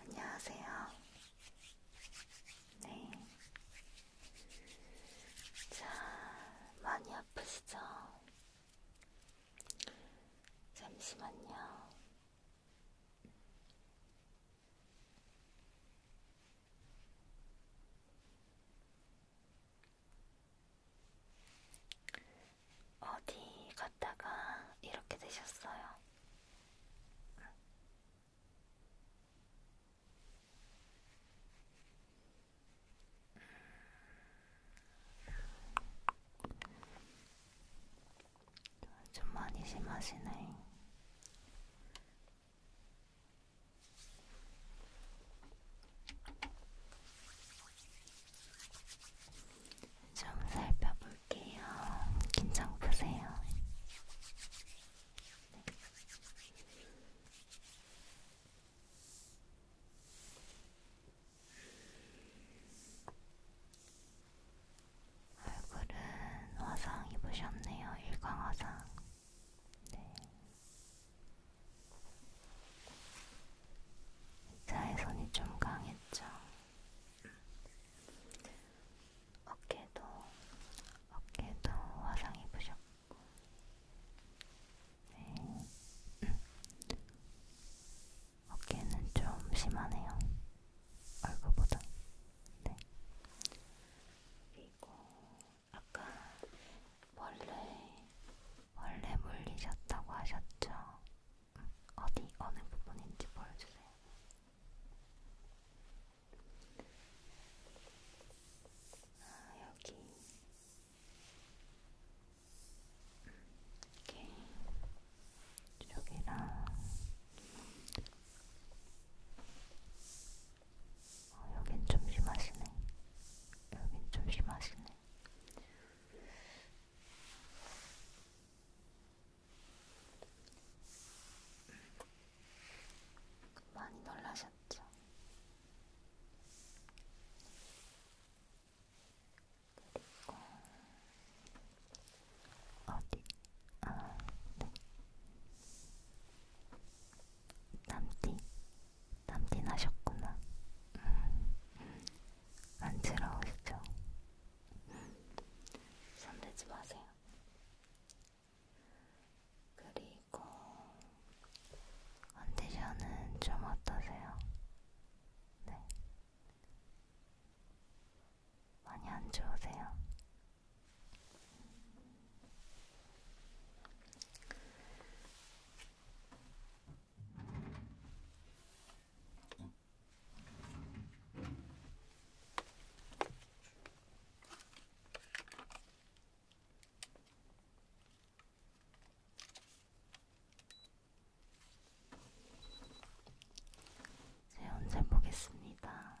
안녕하세요. 네. 자, 많이 아프시죠? 잠시만요. 어디 갔다가 이렇게 되셨어요? 음. 좀 많이 심하시네. 좀 살펴볼게요. 긴장 푸세요. 네. 얼굴은 화상 입으셨네요. 일광 화상. 네. 자외선이 좀 강했죠. 어깨도 어깨도 화상 입으셨고, 네. 음. 어깨는 좀 심하네요. 얼굴보다. 네. 그리고 아까 원래 원래 물리셨다고 하셨죠? 응. 어디 어느 부분인지 보여주세요. 아 여기 이렇게 여기랑 어, 여긴 좀 심하시네. 여긴 좀 심하시네. 많이 놀라셨죠? 그리고 어디? 아, 네. 남띠? 남띠 나셨구나. 음, 음. 안쓰러우시죠? 손대지 마세요. 그리고 컨디션은 좀 어떠세요? 네. 많이 안 좋으세요? 제 네, 언제 보겠습니다.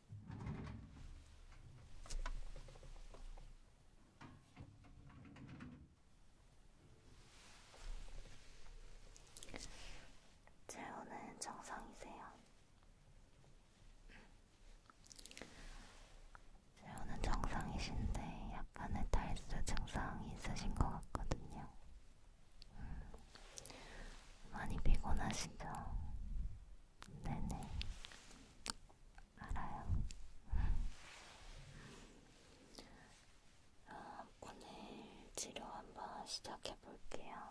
체온은 정상이세요? 체온은 정상이신데 약간의 탈수 증상이 있으신 것 같거든요. 음, 많이 피곤하시죠? 네네. 알아요. 음. 아, 오늘 치료 한번 시작해 볼게요.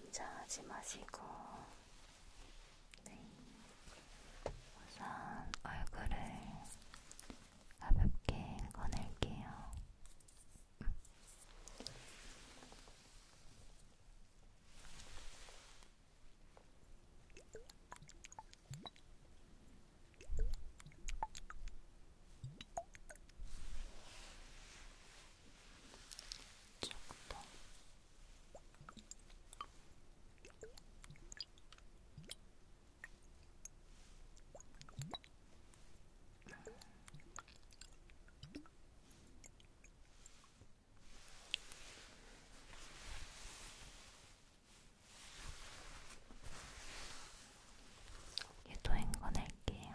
긴장하지 마시고 네. 우선 얼굴을 가볍게 꺼낼게요. 음. 네. 쪽도 얘도 헹궈낼게요.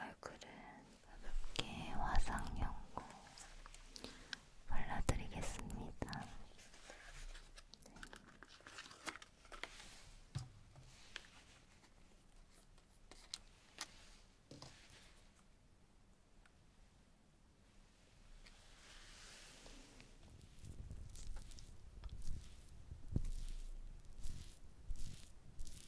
얼굴은 가볍게 화상연고 발라드리겠습니다. 네.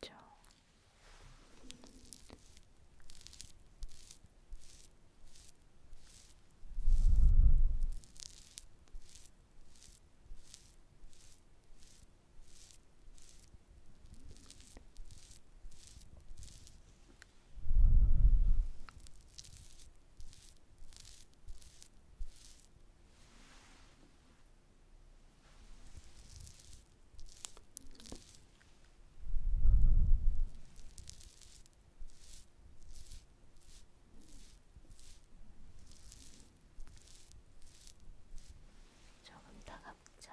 됐죠. 조금 따갑죠?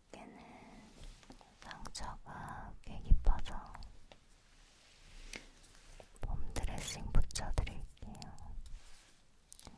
어깨는 상처가 꽤 깊어서 폼드레싱 붙여드릴게요. 네,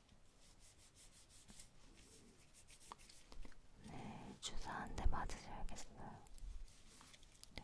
네, 주사 한대 맞으셔야겠어요. 네.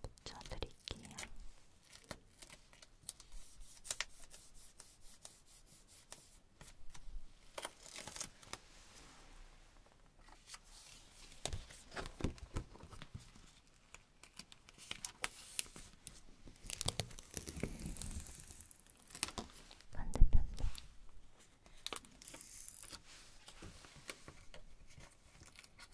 붙여드릴게요. 반대편도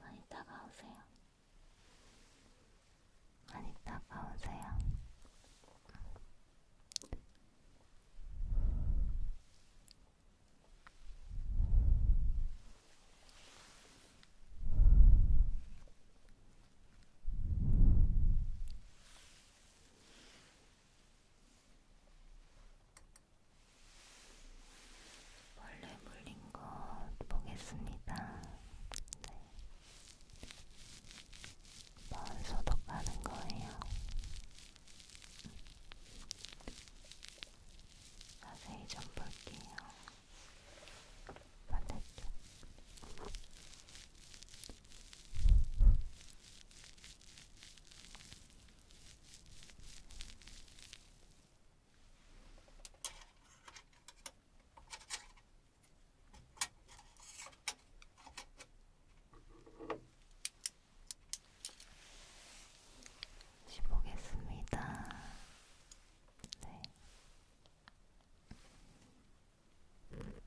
많이 다가오세요. 많이 다가오세요. 벌레 물린 것 보겠습니다. 네. 먼 소독하는 거예요. 자세히 좀 볼게요. 반대쪽. 지보겠습니다. 네.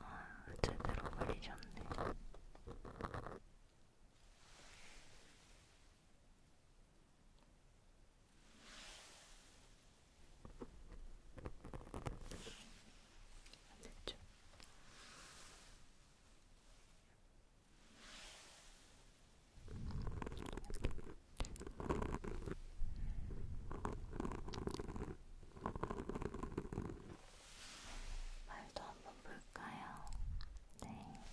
아, 제대로 걸리셨네. 안 됐죠? 말도 한번 볼까요? 네.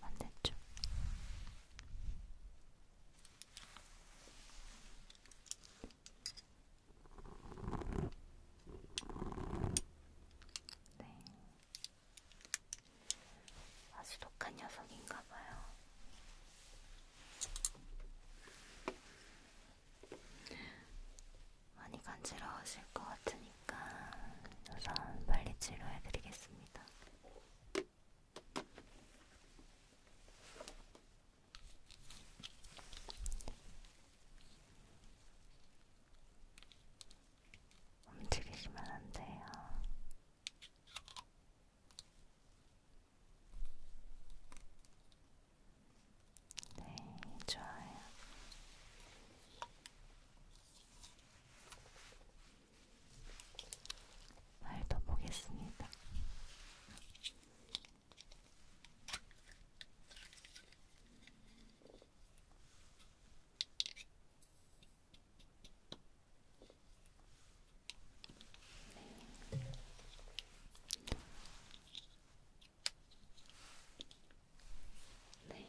반대쪽 네. 아주 독한 녀석인가봐요. 많이 간지러우실 것 같으니까 우선 빨리 치료해드리겠습니다. 움직이시면 안 돼요. 네, 좋아요. 말도 보겠습니다. 네. 네.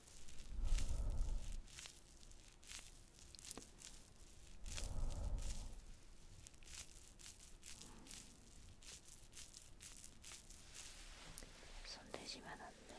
손 대시면 안 돼요.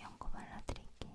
연고 발라드릴게요.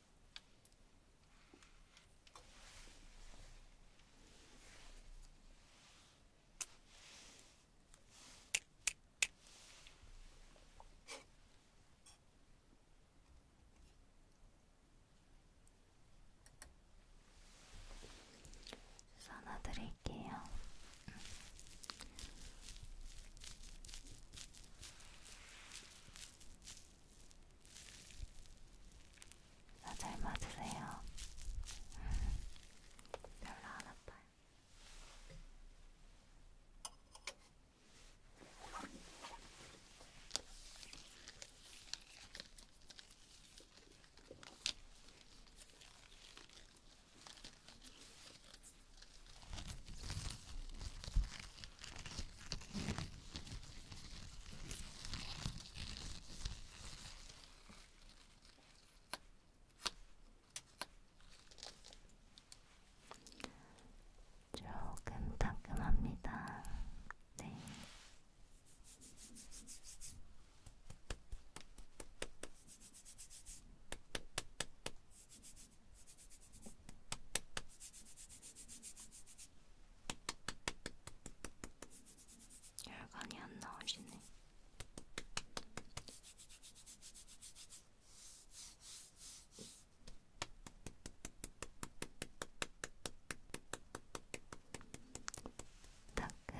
써놔 드릴게요. 나잘 맞으세요. 음, 별로 안 아파요. 조금 따끔합니다. 네. 열간이 안 나오시네. 따끈.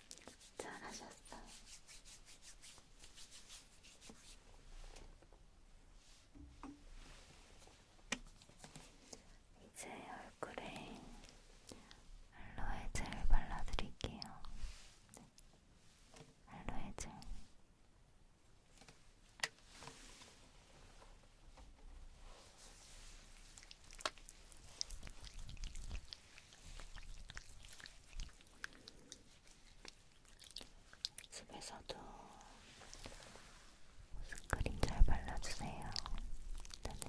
잘하셨어요. 이제 얼굴에 알로에 젤 발라드릴게요. 네. 알로에 젤. 집에서도 스크린 잘 발라주세요. 네.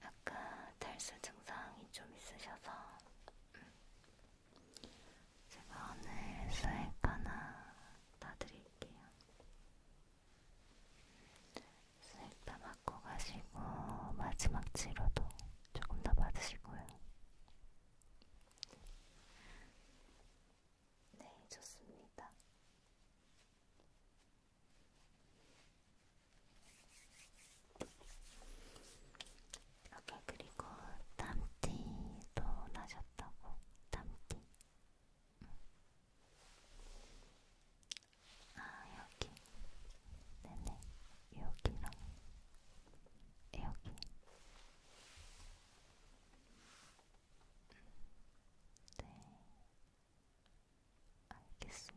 아까 탈수 증상이 좀 있으셔서 음, 제가 오늘 수액 하나 따드릴게요. 수액 다 맞고 가시고 마지막 치료도 조금 더 받으시고요. 네, 좋습니다. 오케이, 그리고 땀띠도 나셨다고, 땀띠. 응. 음. 아, 여기. 네네, 여기랑 여기. 네, 알겠습니다.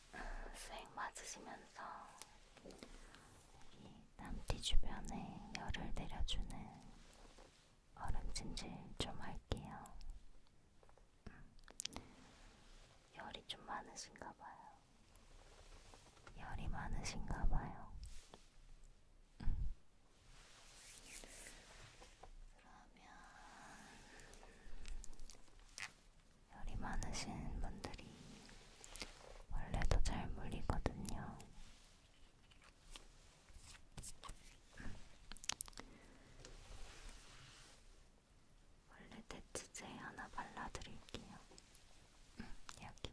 수액 맞으시면서 여기 땀띠 주변에 열을 내려주는 얼음찜질 좀 할게요. 음, 열이 좀 많으신가 봐요. 열이 많으신가 봐요. 음. 그러면 열이 많으신 분들이 원래도 잘 물리거든요. 원래 대치제 하나 발라드릴게요. 음, 여기.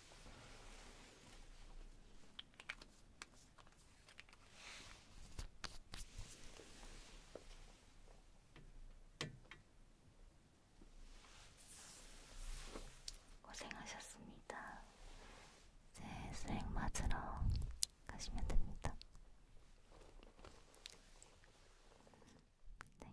고생하셨습니다. 이제 수행 맞으러 가시면 됩니다. 네.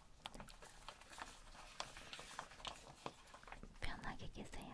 편하게 계세요.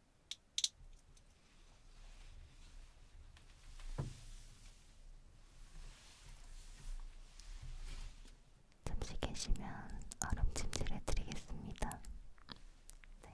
잠시 계시면 얼음 찜질해 드리겠습니다. 네.